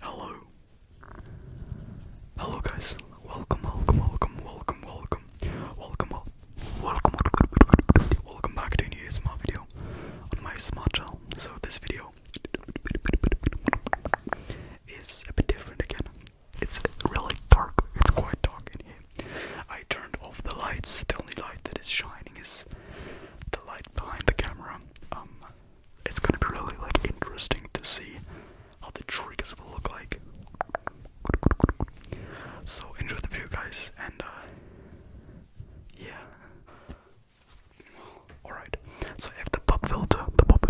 Hello. Hello guys. Welcome, welcome, welcome, welcome, welcome. Welcome up. Welcome Welcome back to a new ASMR video on my smart channel. So this video is a bit different again. It's really dark. It's quite dark in here. I turned off the lights. The only light that is shining is the light behind the camera um, it's gonna be really like interesting to see how the triggers will look like. So enjoy the video, guys, and uh, yeah. Alright, so I have the pop filter, the pop,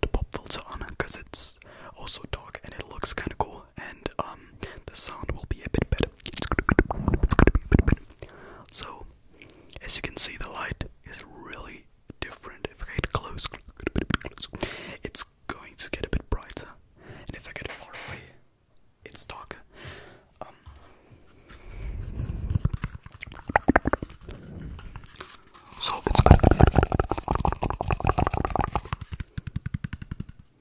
the pop filter on, cause it's also dark and it looks kind of cool, and um, the sound will be a bit better so, as you can see, the light is really different. If I get close, it's going to get a bit brighter, and if I get far away, it's darker. Um, so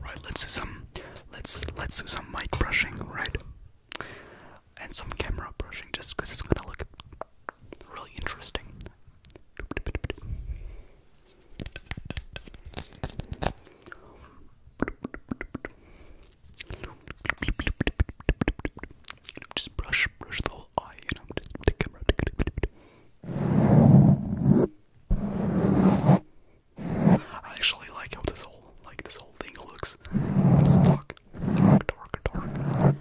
Right, let's do some let's let's do some mic brushing, right? And some camera brushing just because it's gonna look really interesting. Just brush, brush the whole eye, you know, just the camera. I actually like how this whole, like this whole thing looks. It's dark, dark, dark, dark.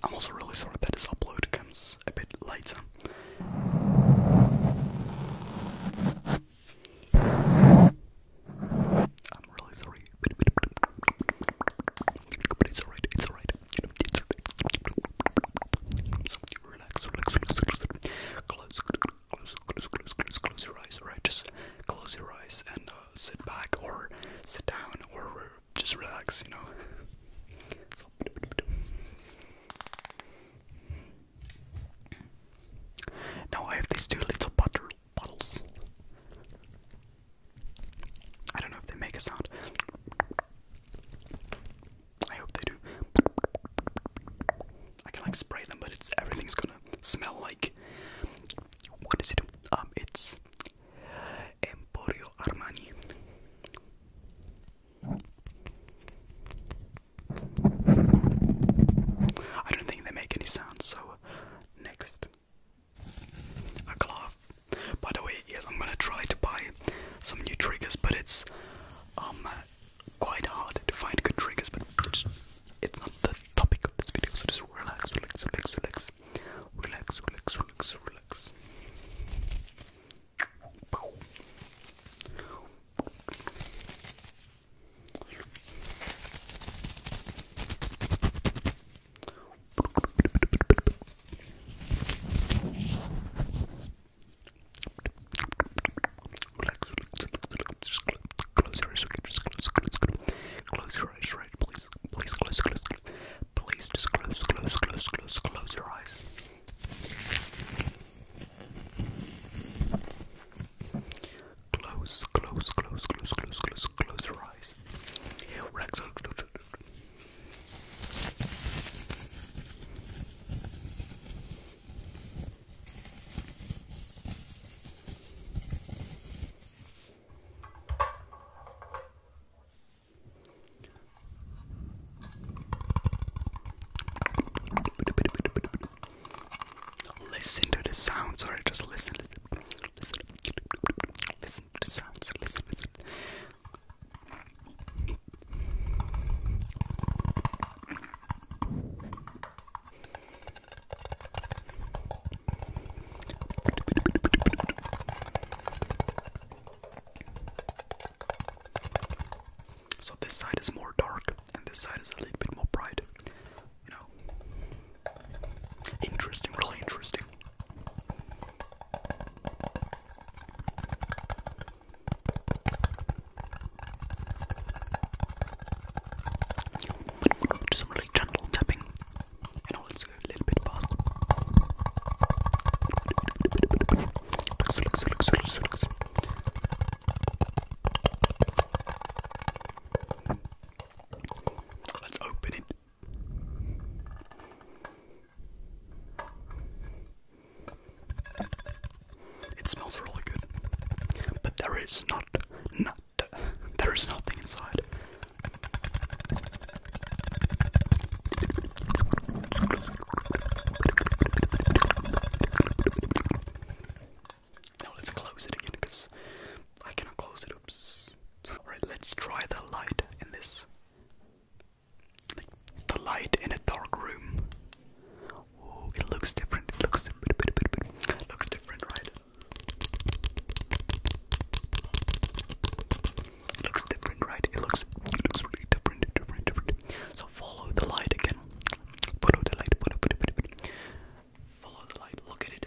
I'm also really sorry that this upload comes a bit later. I'm really sorry. it's alright relax, relax, relax, relax. Close, close, close, close, close, close your eyes, alright? Just close your eyes and uh, sit back or sit down or just relax, you know? Now I have these two little butter bottles. I don't know if they make a sound. I hope they do. I can like spray them, but it's everything's gonna smell like. What is it? Um, it's Emporio Armani. I don't think they make any sound, so next. A cloth by the way, yes, I'm gonna try to buy some new triggers, but it's um quite hard to find good triggers. But it's, not the topic of this video, so just relax, relax, relax, relax, relax, relax, relax, relax. Relax, relax, relax, just close, close your eyes, okay? Just close, close, close. Close your eyes, right? Please, please close, close, close. Please just close, close, close, close, close your eyes. Close, close, close, close, close, close, close your eyes. Relax, relax, relax, Listen to the sound, sorry, just listen, listen, listen, listen, listen, so this side is more dark and this side is a little bit more bright. You know. Interesting, really interesting. Do some really gentle tapping. You know, a little bit past. Let's open it. It smells really good, but there is not, not, there is nothing inside. Now let's close it again because I cannot close it. Oops. Alright, let's try the light in this. the light in a dark room. Oh, it looks different. It looks different. looks different, right? It looks different, right? It looks it looks really different, different, different. So follow the light again. Follow the light. follow the light. Look at it.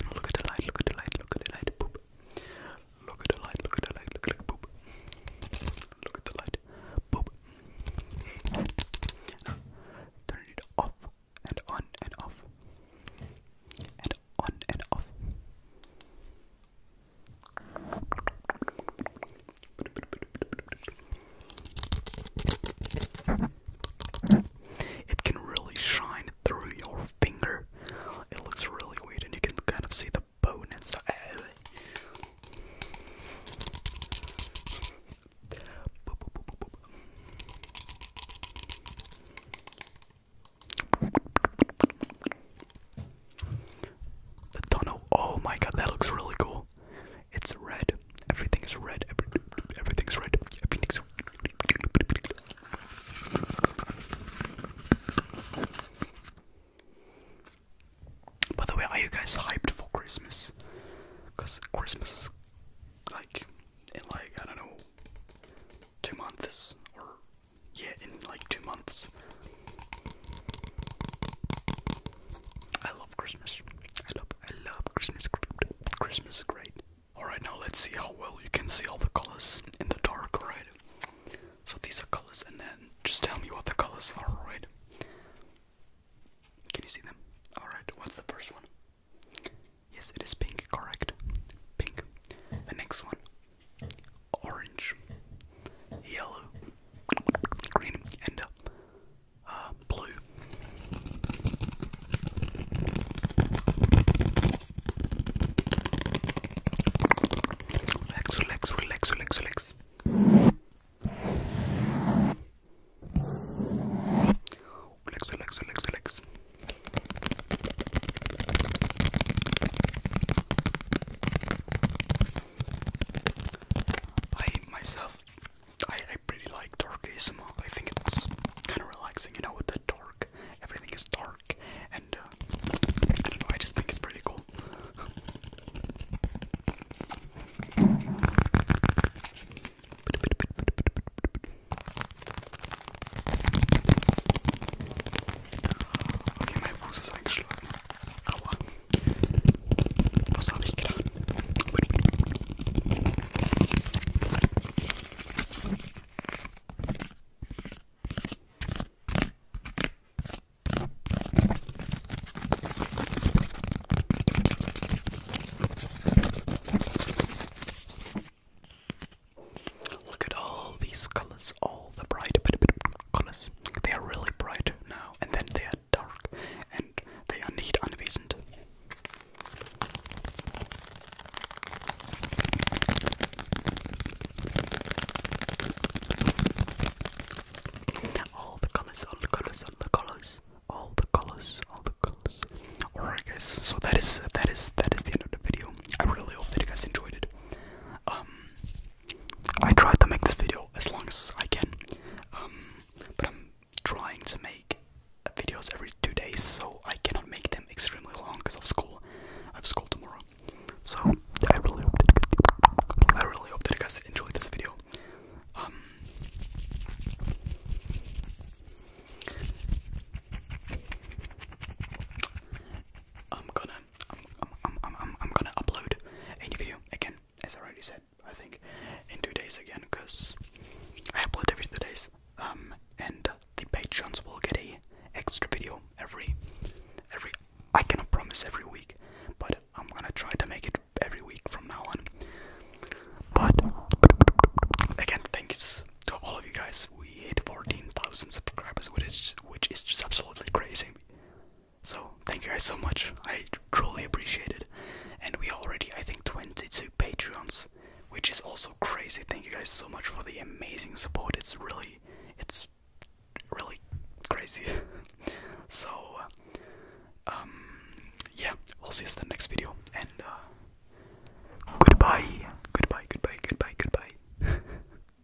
And look at the light, look at the light, look at the light, boop. Look at the light, look at the light, look at the boop. Look at the light, boop. Now, turn it off and on and off. And on and off. It can really shine through your finger. It looks really weird, and you can kind of see the bone and stuff. The tunnel. Oh my god, that looks really cool. It's red. Everything's red. Every, everything's red. Everything's By the way, are you guys hyped for Christmas? Because Christmas is like in like, I don't know, two months or yeah, in like two months. I love Christmas. I love, I love Christmas. Christmas is great. Alright, now let's see how well you can see all the colors in the dark, alright? So these are colors, and then just tell me what the colors are, alright? Can you see them? Alright, what's the first one? Yes, it is pink, correct. Pink. The next one orange, yellow, green, and uh, uh, blue. Relax, relax, relax, relax, relax. Relax, relax, relax, relax. I myself I, I pretty like dark I think it's kind of relaxing, you know, with the dark. Everything is dark, and uh, I don't know, I just think it's pretty cool. Okay, mein Fuß ist eingeschlagen. Aua. Was habe ich getan? Look at all these colors, all the bright colors. They are really bright now, and then they are dark, and they are not anwesend. All the colors, all the colors, all the colors, all the colors, all the colors. Alright, guys. So that is that is that is the end of the video. I really hope that you guys enjoyed it. Um, I try to make this video as long as I can, um, but I'm trying to make videos every two days, so I cannot make them extremely long because of school. I have school tomorrow, so I really hope that you guys enjoy this video. Um, I'm gonna I'm, gonna upload a new video again, as I already said, I think, in two days again, because I upload every two days, um, and the patrons will get a extra video every, every, I cannot promise every week, but I'm gonna try to make it every week from now on, but, again, thanks to all of you guys, we hit 14,000 subscribers, which is, which is just absolutely crazy. So thank you guys so much. I truly appreciate it. And we already I think 22 Patreons, which is also crazy. Thank you guys so much for the amazing support. It's really it's really crazy. so um yeah, we'll see you in the next video and uh goodbye. Goodbye, goodbye, goodbye, goodbye.